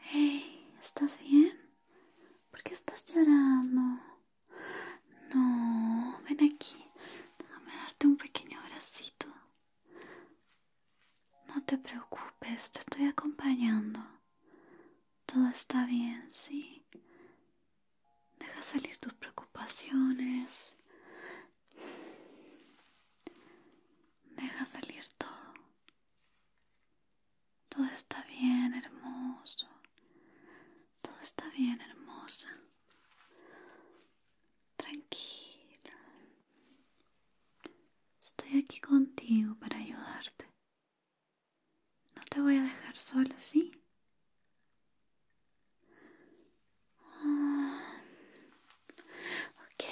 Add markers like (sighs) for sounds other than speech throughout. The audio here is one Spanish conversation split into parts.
Hey, ¿estás bien? ¿Por qué estás llorando? No, ven aquí. Déjame darte un pequeño abracito. No te preocupes, te estoy acompañando. Todo está bien, sí. Deja salir tus preocupaciones. Deja salir todo. Todo está bien, hermoso. Todo está bien, hermosa. Tranquila. Estoy aquí contigo para ayudarte. No te voy a dejar sola, ¿sí? Ah. Ok.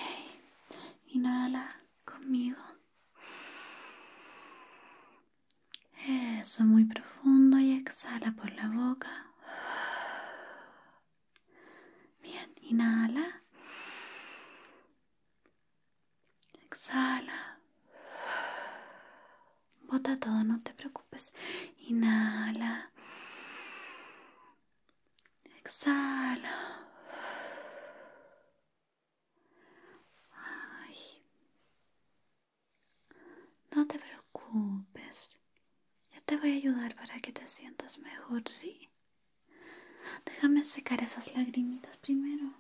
Inhala conmigo. Eso, muy profundo y exhala por la boca. Bien, inhala. Exhala. Bota todo, no te preocupes. Inhala. Exhala no te preocupes. Yo te voy a ayudar para que te sientas mejor, ¿sí? Déjame secar esas lagrimitas primero.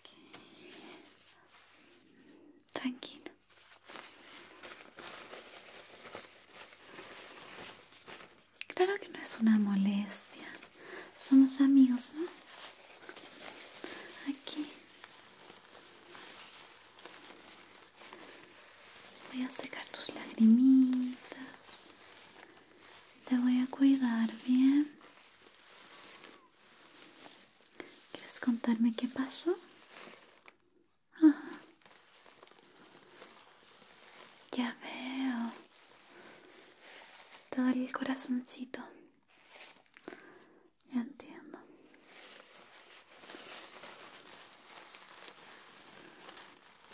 Okay. Tranquilo. Claro que no es una molestia. Somos amigos, ¿no? Aquí. Voy a secar tus lagrimitas. Te voy a cuidar bien. ¿Quieres contarme qué pasó? Ah. Ya veo. Te el corazoncito. Ya entiendo.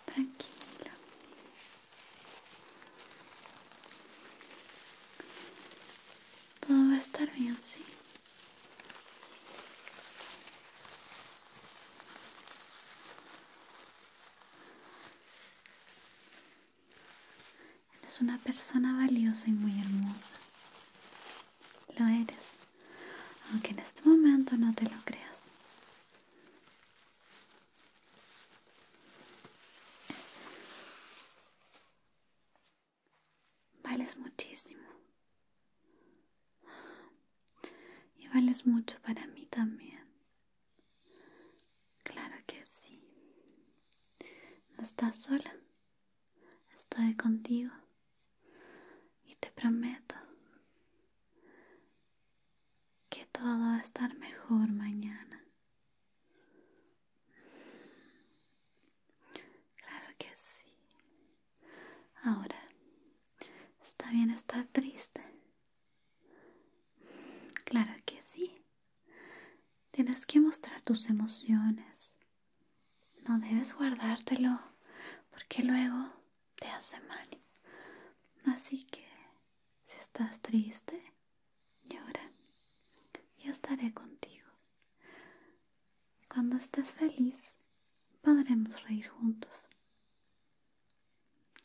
Tranquila. Todo va a estar bien, sí. Eres una persona valiosa y muy hermosa. Lo eres, aunque en este momento no te lo creas. Vales muchísimo. Y vales mucho para mí también. Claro que sí. No estás sola. Estoy contigo. Y te prometo que todo va a estar mejor mañana. Claro que sí. Ahora, ¿está bien estar triste? Claro que sí. Tienes que mostrar tus emociones. No debes guardártelo porque luego te hace mal. Así que, si estás triste, y ahora yo estaré contigo. Cuando estés feliz, podremos reír juntos.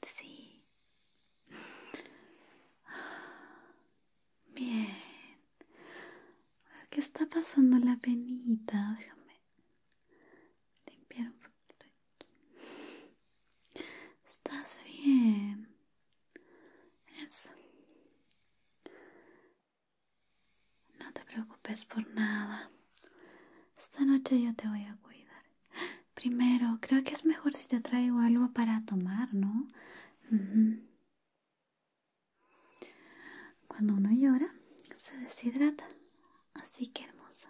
Sí. (sighs) Bien. ¿Qué está pasando la penita? Déjame limpiar un poquito Estás bien. Eso. No te preocupes por nada. Esta noche yo te voy a cuidar. Primero, creo que es mejor si te traigo algo para tomar, ¿no? Cuando uno llora, se deshidrata. Así que hermoso.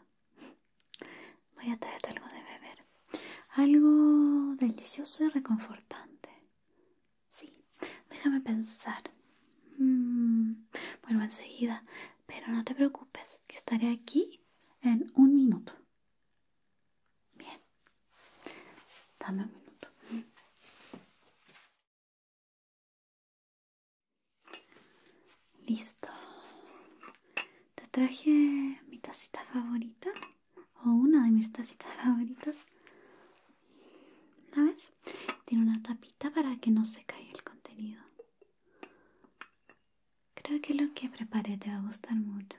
Voy a traerte algo de beber. Algo delicioso y reconfortante. Sí, déjame pensar. Mm, vuelvo enseguida, pero no te preocupes, que estaré aquí en un minuto. Bien, dame un minuto. Listo te traje mi tacita favorita o una de mis tacitas (laughs) favoritas. ¿sabes? Tiene una tapita para que no se caiga el contenido. Creo que lo que preparé te va a gustar mucho.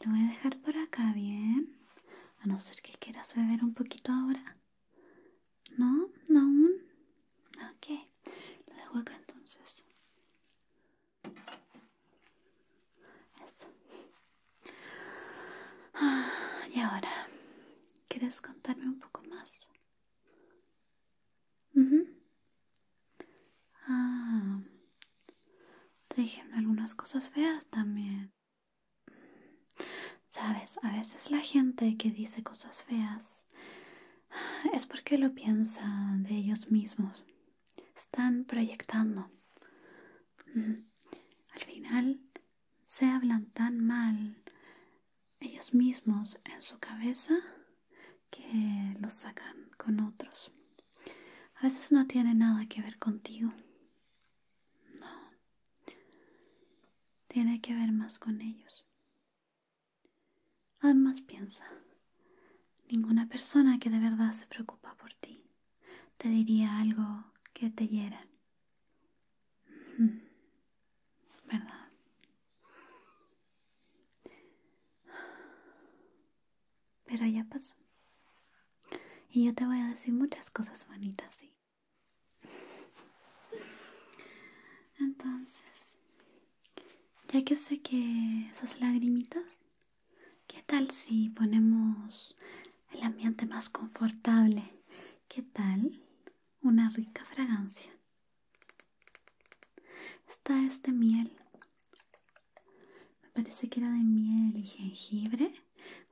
Lo voy a dejar por acá, bien. A no ser que quieras beber un poquito ahora. ¿No? ¿No aún? Ok. Lo dejo acá entonces. Ah, y ahora, ¿quieres contarme un poco más? Ah, te dijeron algunas cosas feas también. Sabes, a veces la gente que dice cosas feas es porque lo piensa de ellos mismos están proyectando. Al final se hablan tan mal ellos mismos en su cabeza que los sacan con otros. A veces no tiene nada que ver contigo. No. Tiene que ver más con ellos. Además piensa, ninguna persona que de verdad se preocupa por ti te diría algo que te hiera. ¿Verdad? Pero ya pasó. Y yo te voy a decir muchas cosas bonitas, sí. Entonces, ya que sé que esas lagrimitas ¿Qué tal si ponemos el ambiente más confortable? ¿Qué tal una rica fragancia? Está este miel. Me parece que era de miel y jengibre.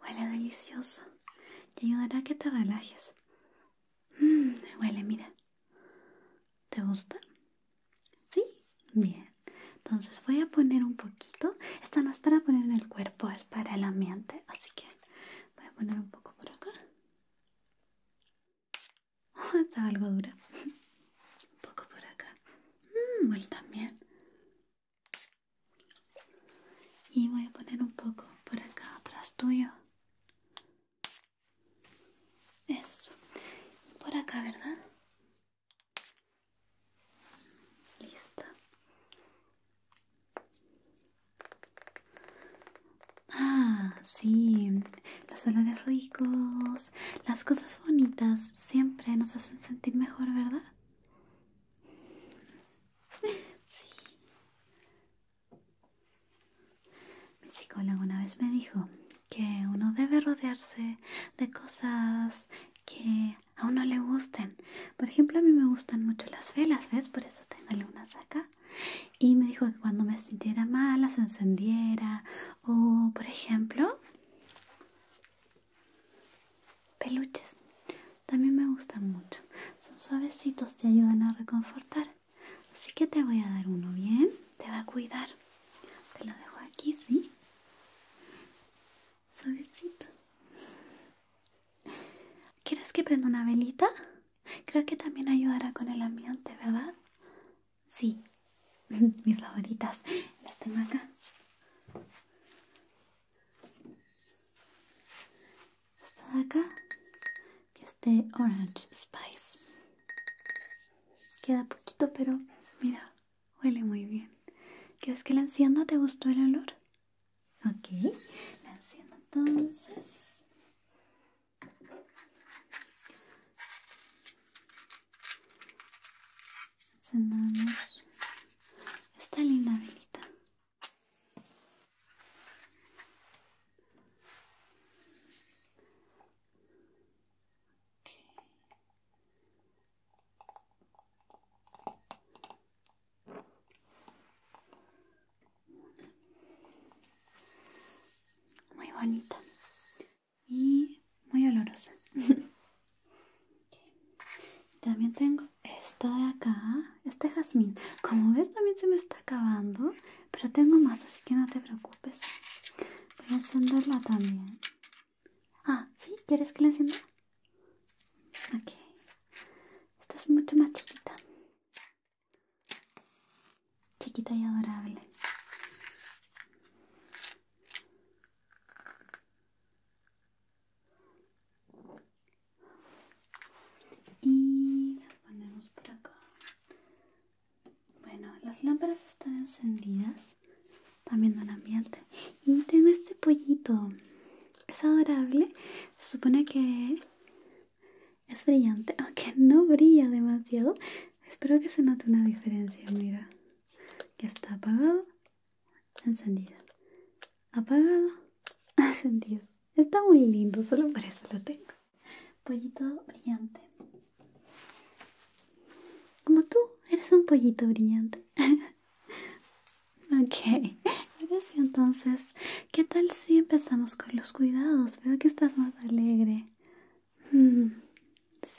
Huele delicioso. Te ayudará a que te relajes. Mm, huele, mira. ¿Te gusta? Sí, bien. Entonces voy a poner un poquito. Esta no es para poner en el cuerpo, es para el ambiente. Así que voy a poner un poco por acá. Ah, Esta está algo dura. un poco por acá. Mmm, también. Y voy a poner un poco por acá atrás tuyo. Eso. Y por acá, ¿verdad? Listo. Ah, sí, los olores ricos, las cosas bonitas siempre nos hacen sentir mejor, ¿verdad? Sí. Mi psicólogo una vez me dijo que uno debe rodearse de cosas que a uno le gusten. Por ejemplo, a mí me gustan mucho las velas, ¿ves? Por eso tengo algunas acá. Y me dijo que cuando me sintiera mal las encendiera. O, por ejemplo, peluches. También me gustan mucho. Son suavecitos, te ayudan a reconfortar. Así que te voy a dar uno bien. Te va a cuidar. Te lo dejo aquí, ¿sí? Suavecito. ¿Quieres que prenda una velita? Creo que también ayudará con el ambiente, ¿verdad? Sí, (laughs) mis favoritas. Las tengo acá. Esta de acá, que es este Orange Spice. Queda poquito, pero mira, Huele muy bien. ¿Crees que la encienda te gustó el olor? Ok, la encienda entonces. Encendamos esta linda velita. Muy bonita y muy olorosa. (laughs) También tengo esta de acá, este jazmín. Como ves también se me está acabando, pero tengo más, así que no te preocupes. Voy a encenderla también. Ah, ¿sí? ¿Quieres que la encienda? Ok. Esta es mucho más chiquita. Chiquita y adorable. Y la ponemos por acá. Bueno, las lámparas están encendidas también del ambiente. Y tengo este pollito. Es adorable. Se supone que es brillante, (laughs) aunque no brilla demasiado. Espero que se note una diferencia. Mira, que está apagado, encendido. Apagado, (laughs) encendido. Está muy lindo, solo por eso lo tengo. Pollito brillante. Como tú, eres un pollito brillante. (laughs) ok, entonces, ¿qué tal si empezamos con los cuidados? Veo que estás más alegre. Mm,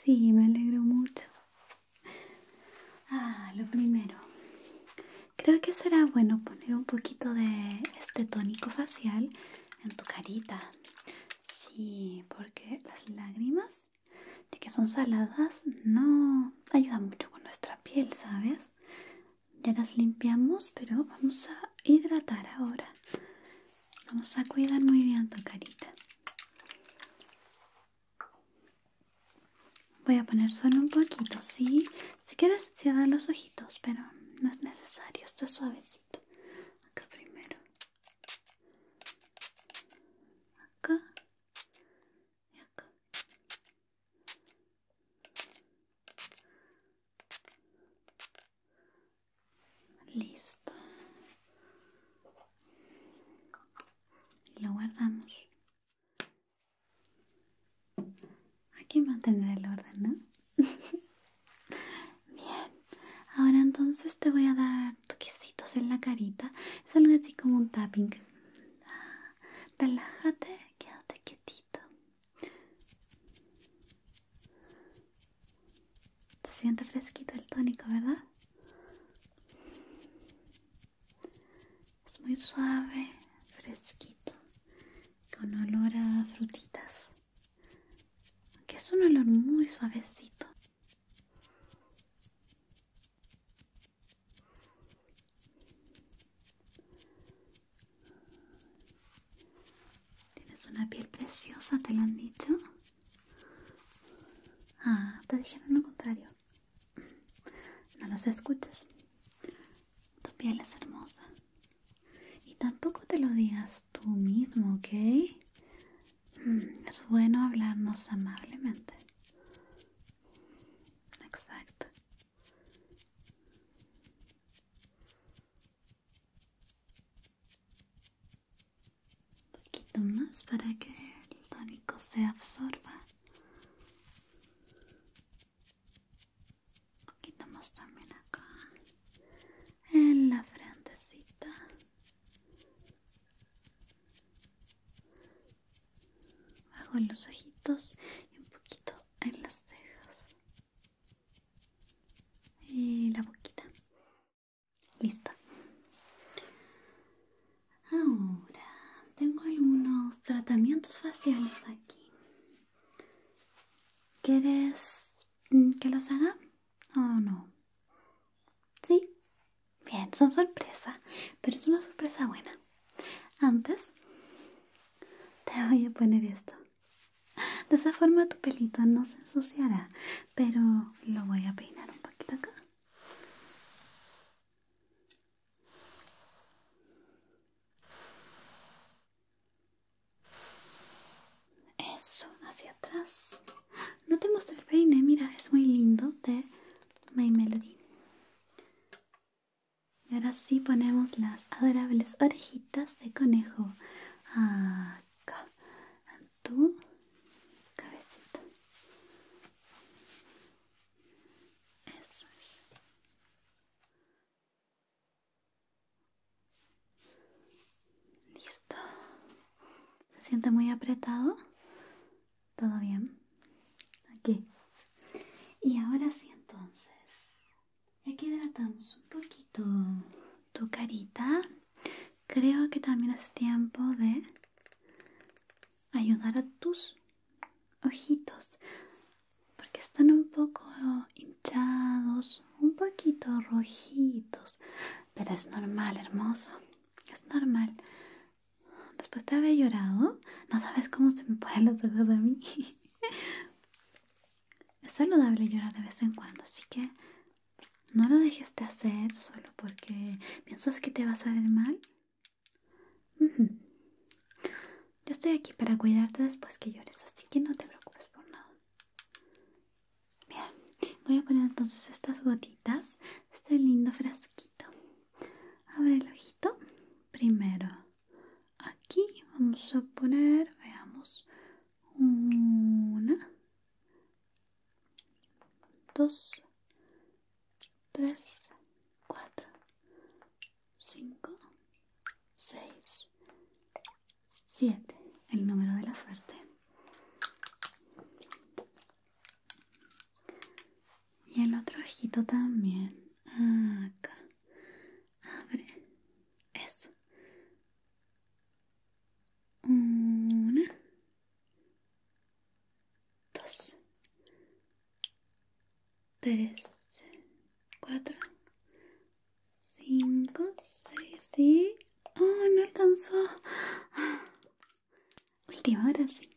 sí, me alegro mucho. Ah, lo primero. Creo que será bueno poner un poquito de este tónico facial en tu carita. Sí, porque las lágrimas ya que son saladas no ayuda mucho con nuestra piel sabes ya las limpiamos pero vamos a hidratar ahora vamos a cuidar muy bien tu carita voy a poner solo un poquito sí si quieres cierra los ojitos pero no es necesario esto es suavecito acá primero acá y acá listo lo guardamos aquí mantener el orden ¿no? (laughs) bien ahora entonces te voy a dar toquecitos en la carita. Es algo así como un tapping. relájate, quédate quietito. Se siente fresquito el tónico, ¿verdad? Es muy suave, fresquito, con olor a frutitas. Que es un olor muy suavecito. Tienes una piel preciosa, ¿te lo han dicho? Ah, te dijeron lo contrario. No los escuches. Tu piel es hermosa. Y tampoco te lo digas tú mismo, ¿ok? Mm, es bueno hablarnos amablemente. Exacto. Un poquito más para que el tónico se absorba. Un poquito más también acá. En la frentecita. Hago en los ojitos y un poquito en las cejas. Y la boquita. Listo. Ahora tengo algunos tratamientos faciales aquí. ¿Quieres mm, que los haga o no? ¿Sí? Bien, son sorpresa, pero es una sorpresa buena. Antes, te voy a poner esto. De esa forma tu pelito no se ensuciará, pero lo voy a peinar un poquito acá. Eso, hacia atrás. No te mostré el peine, mira, es muy lindo de My Melody. Y ahora sí ponemos las adorables orejitas de conejo. Acá, en tu cabecita. Eso es. Listo. ¿Se siente muy apretado? ¿Todo bien? Aquí. Y ahora sí entonces. Aquí hidratamos un poquito tu carita. Creo que también es tiempo de ayudar a tus ojitos. Porque están un poco hinchados, un poquito rojitos. Pero es normal, hermoso. Es normal. Después de haber llorado, no sabes cómo se me ponen los ojos a mí. (laughs) es saludable llorar de vez en cuando, así que no lo dejes de hacer solo porque piensas que te vas a ver mal. Yo estoy aquí para cuidarte después que llores, así que no te preocupes por nada. Bien, voy a poner entonces estas gotitas este lindo frasquito abre el ojito primero aquí vamos a poner veamos una dos tres cuatro cinco seis siete el número de la suerte y el otro ojito también acá abre eso una dos tres cuatro cinco seis y oh no alcanzó Última ahora sí.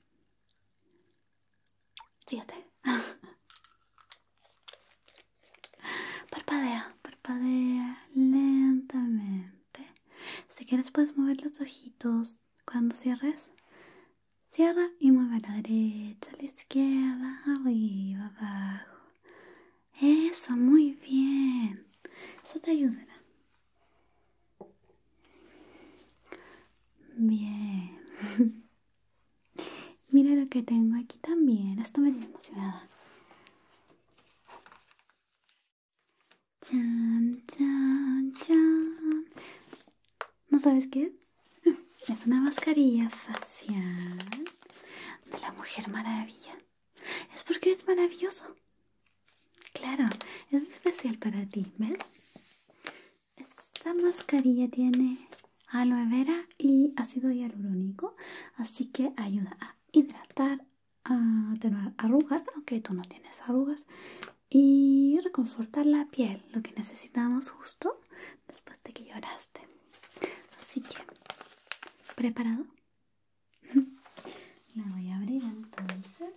Síguete. (laughs) Parpadea, parpadea lentamente. Si quieres puedes mover los ojitos cuando cierres. Cierra y mueve a la derecha, a la izquierda, arriba, abajo. Eso, muy bien. Eso te ayudará. Bien. (laughs) Mira lo que tengo aquí también. Esto me emocionada. Chan, chan, chan. ¿No sabes qué? (laughs) Es una mascarilla facial de la Mujer Maravilla. Es porque es maravilloso. Claro, es especial para ti, ¿ves? Esta mascarilla tiene aloe vera y ácido hialurónico, así que ayuda a hidratar, a tener arrugas, aunque tú no tienes arrugas, y reconfortar la piel, lo que necesitamos justo después de que lloraste. Así que, ¿preparado? La voy a abrir entonces.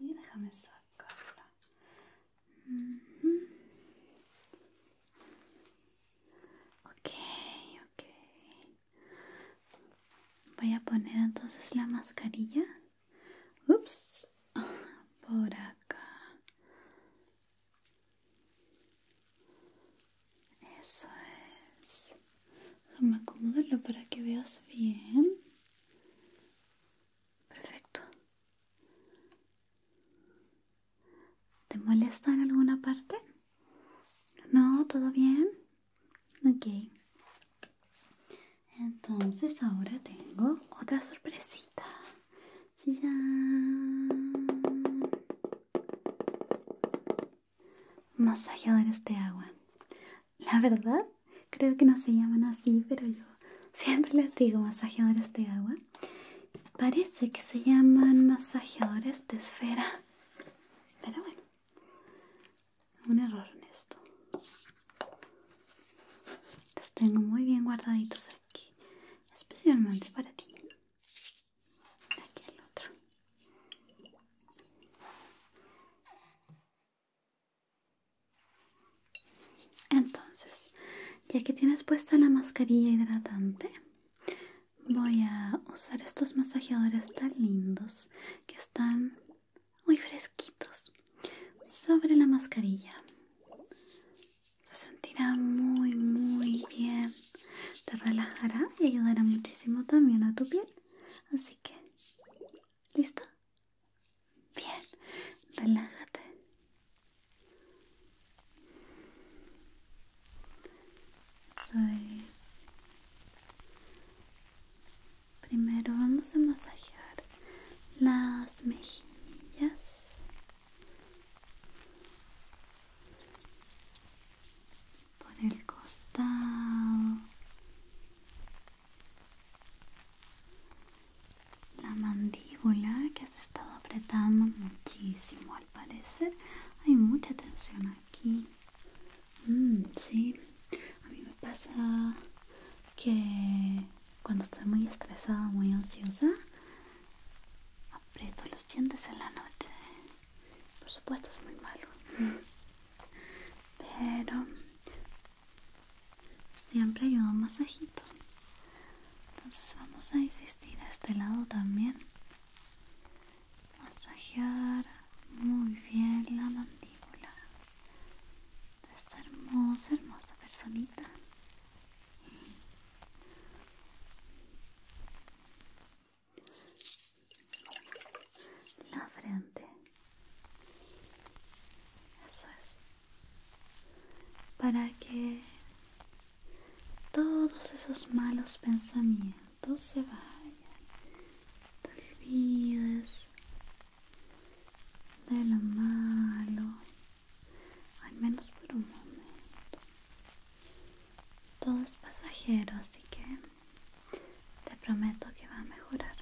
Y déjame sacarla. okay. Ok, Voy a poner entonces la mascarilla. Ups. Por acá. Eso es. Déjame acomodarlo para que veas bien. Perfecto. ¿Te molesta en alguna parte? ¿No? ¿Todo bien? Ok. Entonces ahora tengo otra sorpresita. Masajeadores de este agua. La verdad, creo que no se llaman así, pero yo siempre les digo masajeadores de este agua. Parece que se llaman masajeadores de esfera. Pero bueno, un error en esto. Los tengo muy bien guardaditos ¿eh? especialmente para ti. Entonces, ya que tienes puesta la mascarilla hidratante, voy a usar estos masajeadores tan lindos que están muy fresquitos sobre la mascarilla se sentirá muy muy bien te relajará y ayudará muchísimo también a tu piel así que listo bien relájate primero vamos a masajear las mejillas por el costado, la mandíbula que has estado apretando muchísimo al parecer, hay mucha tensión aquí. Mm, sí, a mí me pasa que cuando estoy muy estresada, muy ansiosa, aprieto los dientes en la noche. Por supuesto es muy malo. Pero siempre ayuda un masajito. Entonces vamos a insistir a este lado también. Masajear muy bien la mandíbula esta hermosa, hermosa personita la frente eso es para que todos esos malos pensamientos se vayan te olvides de malo al menos por un momento. Todo es pasajero, así que te prometo que va a mejorar.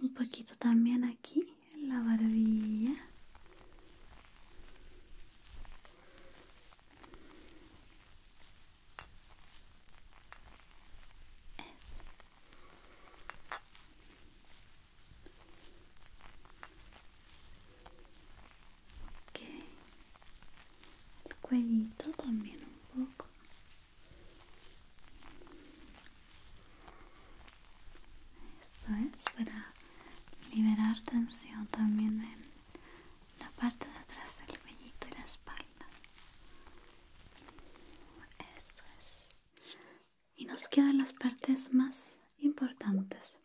Un poquito también aquí en la barbilla. Eso. El cuellito también un poco. Eso es para liberar tensión también en la parte de atrás del cuellito y la espalda. Eso Y nos quedan las partes más importantes.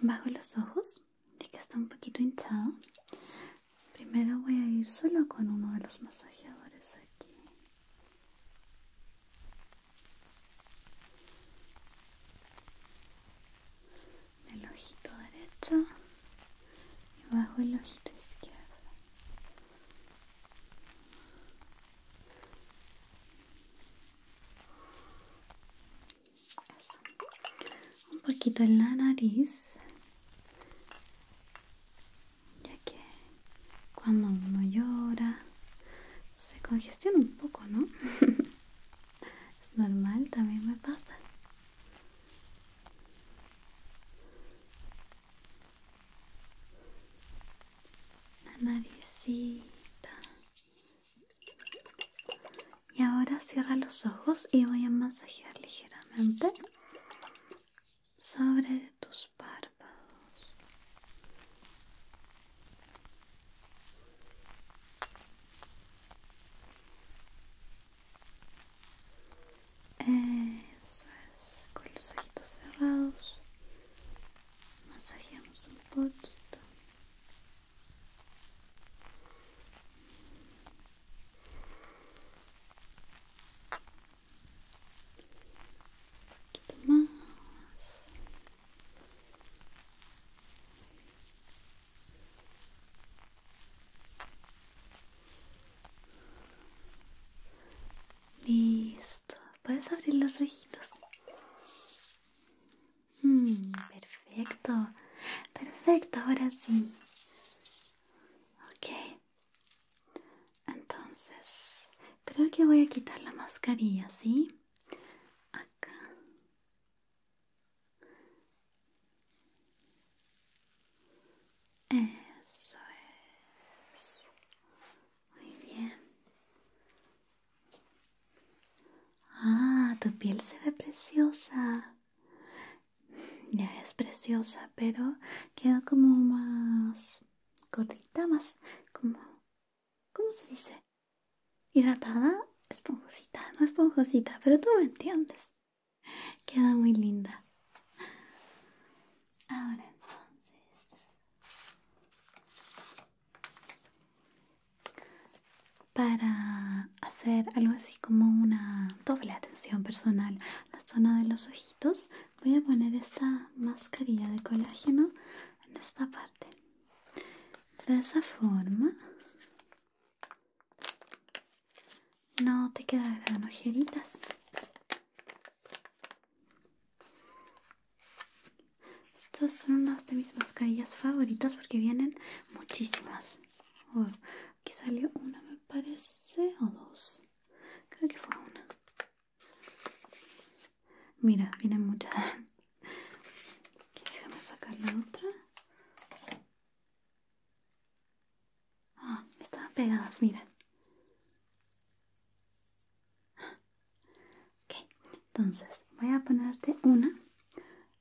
Bajo los ojos, y que está un poquito hinchado. Primero voy a ir solo con uno de los masajeadores aquí el ojito derecho y bajo el ojito izquierdo. Un poquito en la nariz, ya que cuando uno llora se congestiona un poco, ¿no? (laughs) Es normal, también me pasa. La naricita. Y ahora cierra los ojos y voy a masajear ligeramente sobre tus párpados eso es, con los ojitos cerrados masajemos un poquito. Un poquito más. Listo. Puedes abrir los ojitos. Mm, perfecto. Perfecto, ahora sí. Ok. Entonces, creo que voy a quitar la mascarilla, ¿sí? Acá. Eso es. Muy bien. Ah, tu piel se ve preciosa. Ya es preciosa, pero queda como más gordita, más como... ¿Cómo se dice? hidratada, esponjosita, no esponjosita, pero tú me entiendes. Queda muy linda. Ahora entonces. Para hacer algo así como una doble atención personal, la zona de los ojitos, voy a poner esta mascarilla de colágeno en esta parte. De esa forma no te quedan las ojeritas. Estas son unas de mis mascarillas favoritas porque vienen muchísimas. Oh, aquí salió una, me parece, o dos. Creo que fue una. Mira, vienen muchas. (laughs) Déjame sacar la otra. Ah, estaban pegadas, mira. Ok, entonces voy a ponerte una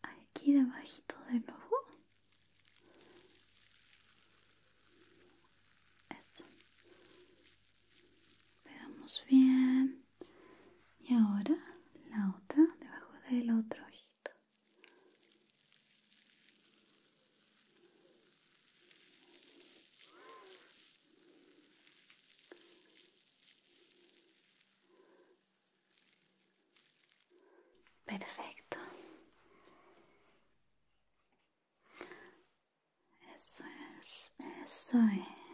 aquí debajito del ojo. Eso. Pegamos bien y ahora la otra debajo del otro ojito perfecto eso es eso es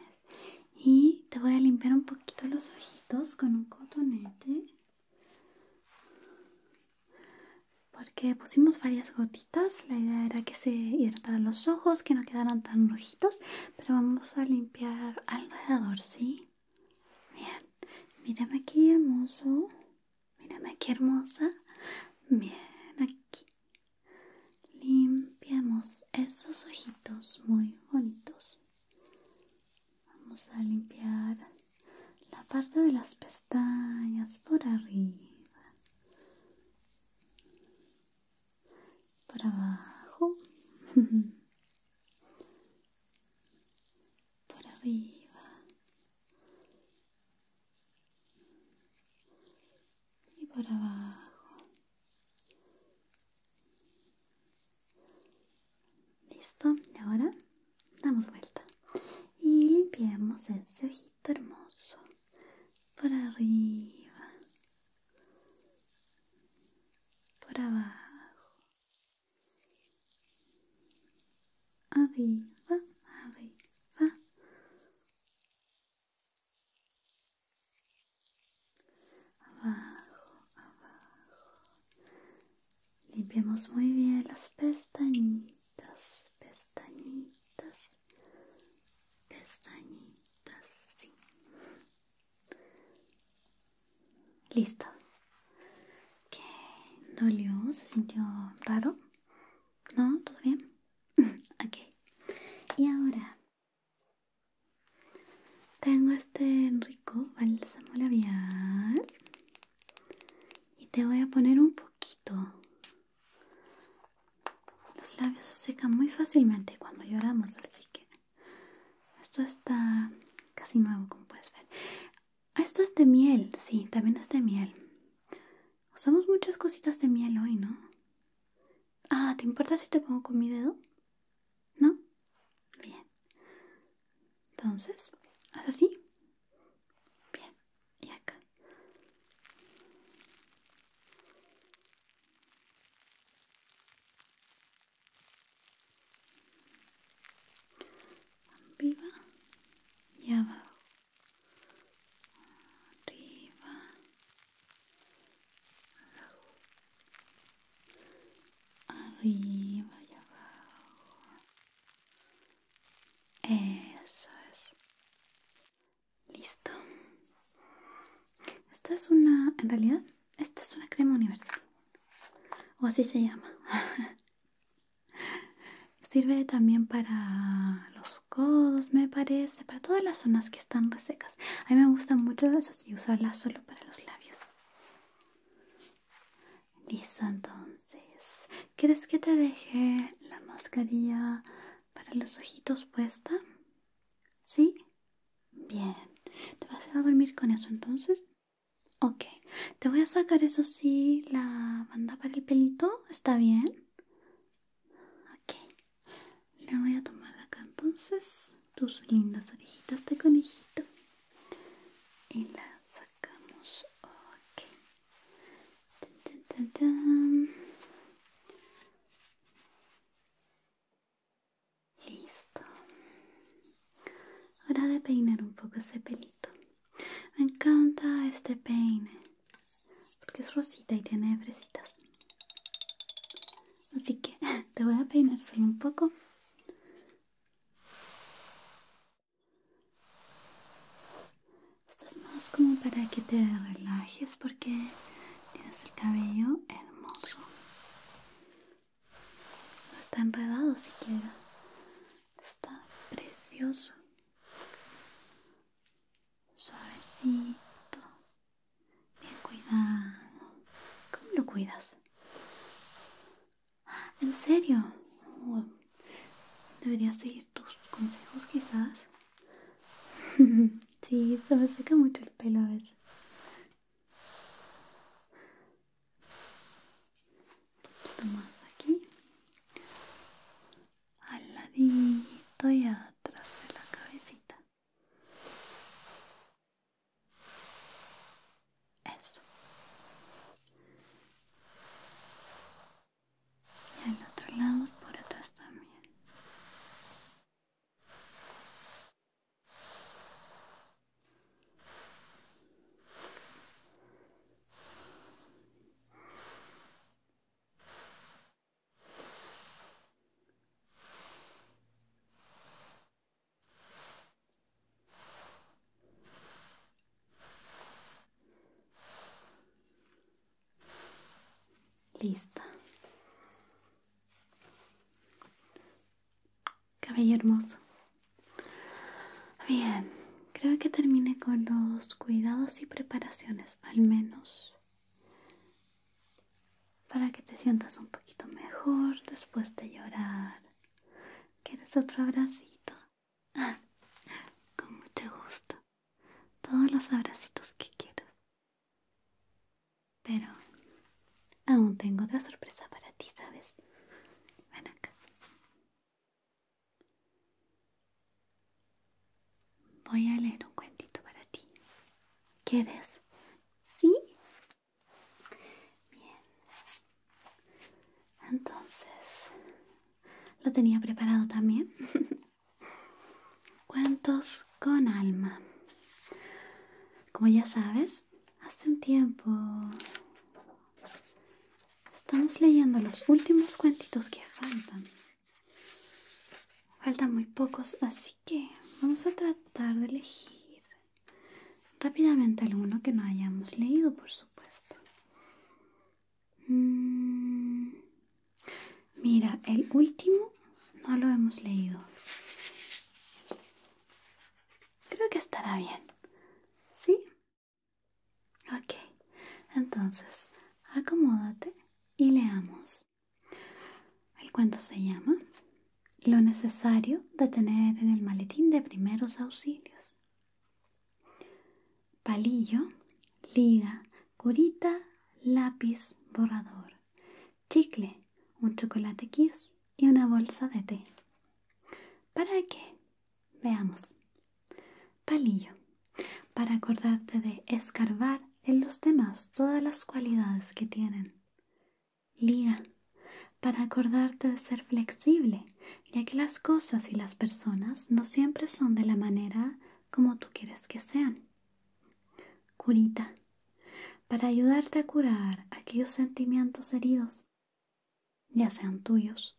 y te voy a limpiar un poquito los ojitos con un cotonete porque pusimos varias gotitas la idea era que se hidrataran los ojos que no quedaran tan rojitos pero vamos a limpiar alrededor sí bien mírame aquí hermoso mírame aquí hermosa bien aquí limpiamos esos ojitos muy bonitos Vamos a limpiar la parte de las pestañas por arriba, por abajo, (laughs) por arriba y por abajo. Listo, y ahora damos vuelta y limpiemos ese ojito hermoso por arriba, por abajo, arriba, arriba abajo, abajo. Limpiamos muy bien las pestañitas, pestañitas, pestañitas, sí. Listo. ¿Qué dolió? ¿Se sintió raro? ¿No? ¿Todo bien? (laughs) ok. Y ahora tengo este rico bálsamo labial y te voy a poner un poquito. Los labios se secan muy fácilmente cuando lloramos, así que esto está casi nuevo, como puedes ver. Ah, esto es de miel, sí, también es de miel. Usamos muchas cositas de miel hoy, ¿no? Ah, ¿te importa si te pongo con mi dedo? ¿No? Bien. Entonces, haz así. Bien. Y acá. Arriba y abajo. Arriba. Abajo arriba y abajo. Eso es. Listo. Esta es una, en realidad, esta es una crema universal. O así se llama. (laughs) Sirve también para los codos, me parece, para todas las zonas que están resecas. A mí me gusta mucho eso y usarla solo para los labios. Listo, entonces, ¿quieres que te deje la mascarilla para los ojitos puesta? ¿Sí? Bien. ¿Te vas a, dormir con eso entonces? Ok. Te voy a sacar, eso sí, la banda para el pelito. ¿Está bien? Ok. La voy a tomar acá entonces tus lindas orejitas de conejito y la sacamos. Ok. Listo. Ahora de peinar un poco ese pelito. Me encanta este peine porque es rosita y tiene fresitas. Así que (laughs) te voy a peinar solo un poco esto es más como para que te relajes porque tienes el cabello hermoso. No está enredado siquiera. Está precioso. Suavecito. Bien cuidado. ¿Cómo lo cuidas? ¿En serio? Oh, Debería seguir tus consejos quizás. (laughs) sí, se me seca mucho el pelo a veces. Un poquito más aquí. Al ladito y atrás de la cabecita. Eso. Y al otro lado por atrás también. Lista. Cabello hermoso. Bien, creo que termine con los cuidados y preparaciones, al menos para que te sientas un poquito mejor después de llorar ¿Quieres otro abracito? Ah, con mucho gusto. Todos los abracitos que quieras. Pero aún tengo otra sorpresa para ti, ¿sabes? Ven acá. Voy a leer un cuentito para ti. ¿Quieres? ¿Sí? Bien. Entonces, lo tenía preparado también. (laughs) Cuentos con alma. Como ya sabes, hace un tiempo estamos leyendo los últimos cuentitos que faltan. Faltan muy pocos, así que vamos a tratar de elegir Rápidamente alguno que no hayamos leído, por supuesto. Mm, mira, el último no lo hemos leído. Creo que estará bien. ¿Sí? Ok. Entonces, acomódate y leamos. El cuento se llama lo necesario de tener en el maletín de primeros auxilios. Palillo, liga, curita, lápiz, borrador, chicle, un chocolate kiss y una bolsa de té. ¿Para qué? Veamos. Palillo. Para acordarte de escarbar en los demás todas las cualidades que tienen. Liga, para acordarte de ser flexible, ya que las cosas y las personas no siempre son de la manera como tú quieres que sean. Curita, para ayudarte a curar aquellos sentimientos heridos, ya sean tuyos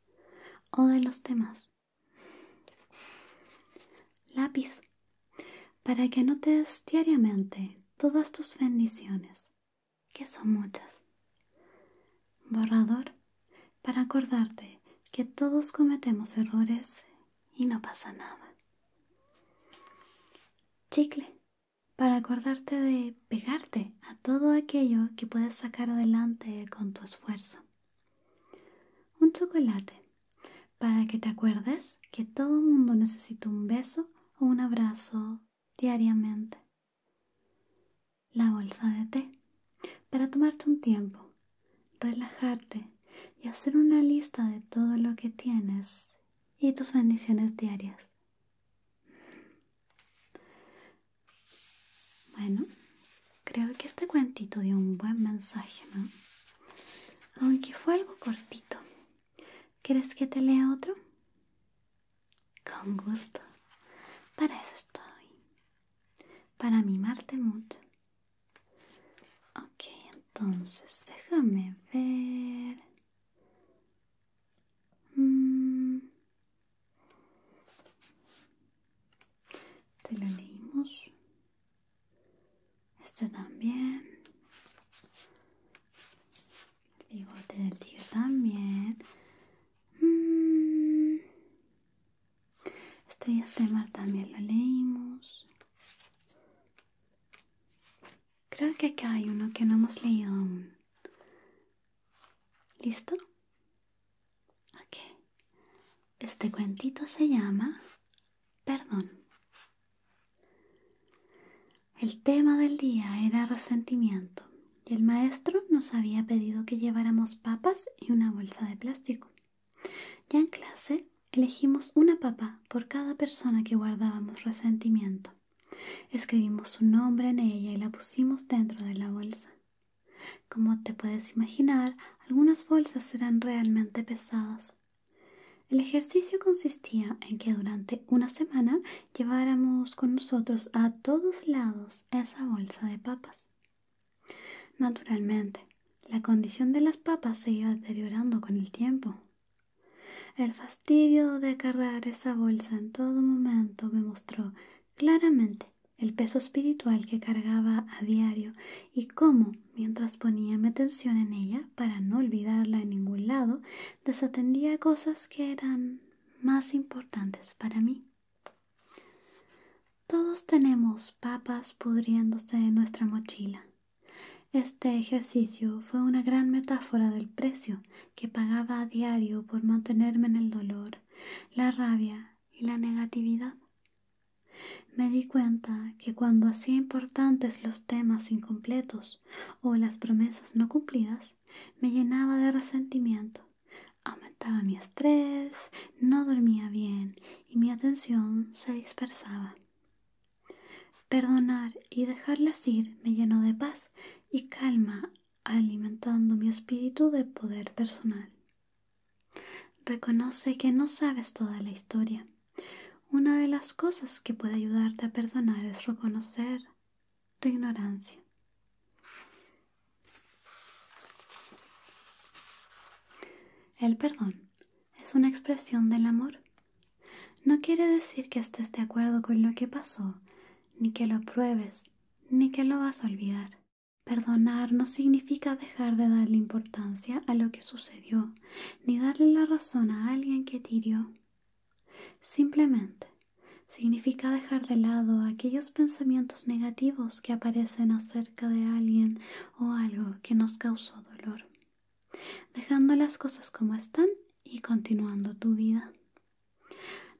o de los demás. Lápiz, para que anotes diariamente todas tus bendiciones que son muchas. Borrador para acordarte que todos cometemos errores y no pasa nada. Chicle para acordarte de pegarte a todo aquello que puedes sacar adelante con tu esfuerzo. Un chocolate para que te acuerdes que todo mundo necesita un beso o un abrazo diariamente la bolsa de té para tomarte un tiempo, relajarte y hacer una lista de todo lo que tienes y tus bendiciones diarias. Bueno, creo que este cuentito dio un buen mensaje, ¿no? Aunque fue algo cortito. ¿Quieres que te lea otro? Con gusto. Para eso estoy. Para mimarte mucho. Ok, entonces déjame ver. Mm. Te lo leímos. Este también. El bigote del tigre también. Mm. Estrellas de mar también lo leímos. Creo que acá hay uno que no hemos leído aún. ¿Listo? Ok. Este cuentito se llama Perdón. El tema del día era resentimiento y el maestro nos había pedido que lleváramos papas y una bolsa de plástico. Ya en clase elegimos una papa por cada persona que guardábamos resentimiento. Escribimos su nombre en ella y la pusimos dentro de la bolsa. Como te puedes imaginar, algunas bolsas eran realmente pesadas. El ejercicio consistía en que durante una semana lleváramos con nosotros a todos lados esa bolsa de papas. Naturalmente, la condición de las papas se iba deteriorando con el tiempo. El fastidio de cargar esa bolsa en todo momento me mostró claramente el peso espiritual que cargaba a diario y cómo, mientras ponía mi atención en ella para no olvidarla en ningún lado, desatendía cosas que eran más importantes para mí. Todos tenemos papas pudriéndose en nuestra mochila. Este ejercicio fue una gran metáfora del precio que pagaba a diario por mantenerme en el dolor, la rabia y la negatividad. Me di cuenta que cuando hacía importantes los temas incompletos o las promesas no cumplidas, me llenaba de resentimiento, aumentaba mi estrés, no dormía bien y mi atención se dispersaba. Perdonar y dejarlas ir me llenó de paz y calma, alimentando mi espíritu de poder personal. Reconoce que no sabes toda la historia. Una de las cosas que puede ayudarte a perdonar es reconocer tu ignorancia. El perdón es una expresión del amor. No quiere decir que estés de acuerdo con lo que pasó, ni que lo apruebes, ni que lo vas a olvidar. Perdonar no significa dejar de darle importancia a lo que sucedió, ni darle la razón a alguien que tiró. Simplemente significa dejar de lado aquellos pensamientos negativos que aparecen acerca de alguien o algo que nos causó dolor, dejando las cosas como están y continuando tu vida.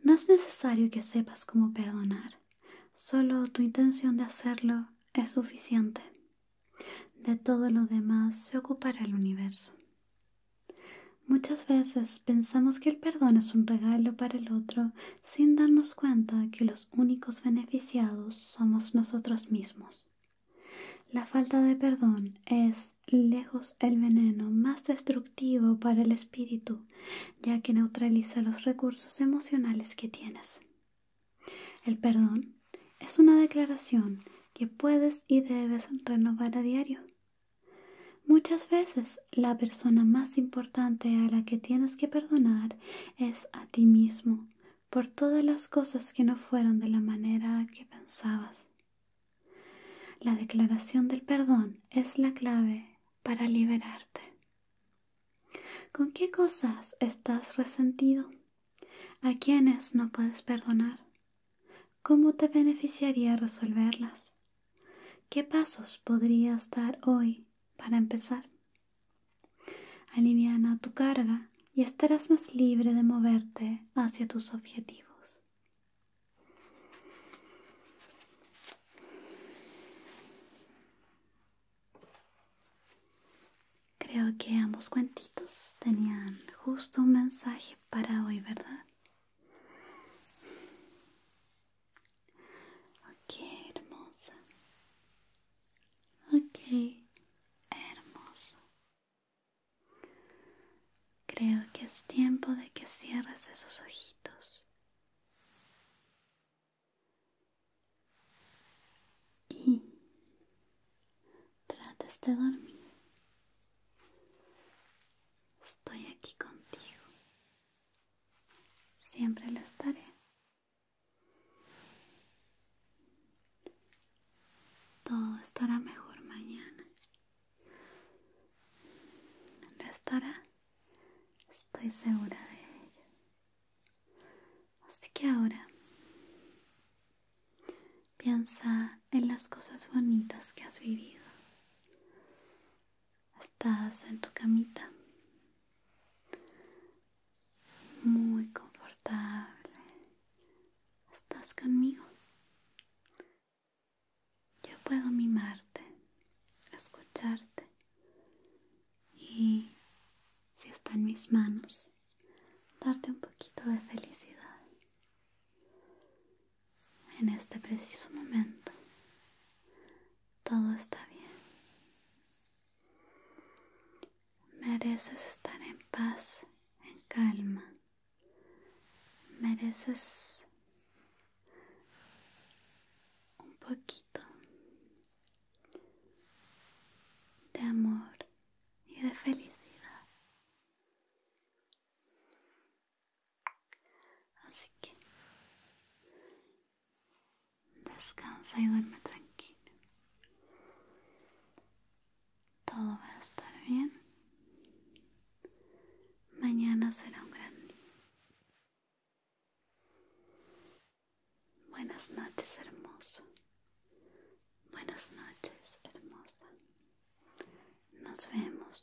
No es necesario que sepas cómo perdonar, solo tu intención de hacerlo es suficiente. De todo lo demás se ocupará el universo. Muchas veces pensamos que el perdón es un regalo para el otro sin darnos cuenta que los únicos beneficiados somos nosotros mismos. La falta de perdón es lejos el veneno más destructivo para el espíritu, ya que neutraliza los recursos emocionales que tienes. El perdón es una declaración que puedes y debes renovar a diario Muchas veces la persona más importante a la que tienes que perdonar es a ti mismo por todas las cosas que no fueron de la manera que pensabas. La declaración del perdón es la clave para liberarte. ¿Con qué cosas estás resentido? ¿A quiénes no puedes perdonar? ¿Cómo te beneficiaría resolverlas? ¿Qué pasos podrías dar hoy para empezar? Aliviana tu carga y estarás más libre de moverte hacia tus objetivos. Creo que ambos cuentitos tenían justo un mensaje para hoy, ¿verdad? Ok, hermosa. Ok, hermoso. Creo que es tiempo de que cierres esos ojitos. Y trates de dormir. Estoy aquí contigo. Siempre lo estaré. Todo estará mejor mañana. Lo estará. Estoy segura de ello. Así que ahora piensa en las cosas bonitas que has vivido. Estás en tu camita. Muy confortable. Estás conmigo. Yo puedo mimarte, escucharte y, si está en mis manos, darte un poquito de felicidad en este preciso momento todo está bien. Mereces estar en paz, en calma. Mereces un poquito de amor y de felicidad. Así que descansa y duerme tranquilo. Todo va a estar bien. Mañana será un gran día. Buenas noches, hermoso. Buenas noches, hermosa. Nos vemos.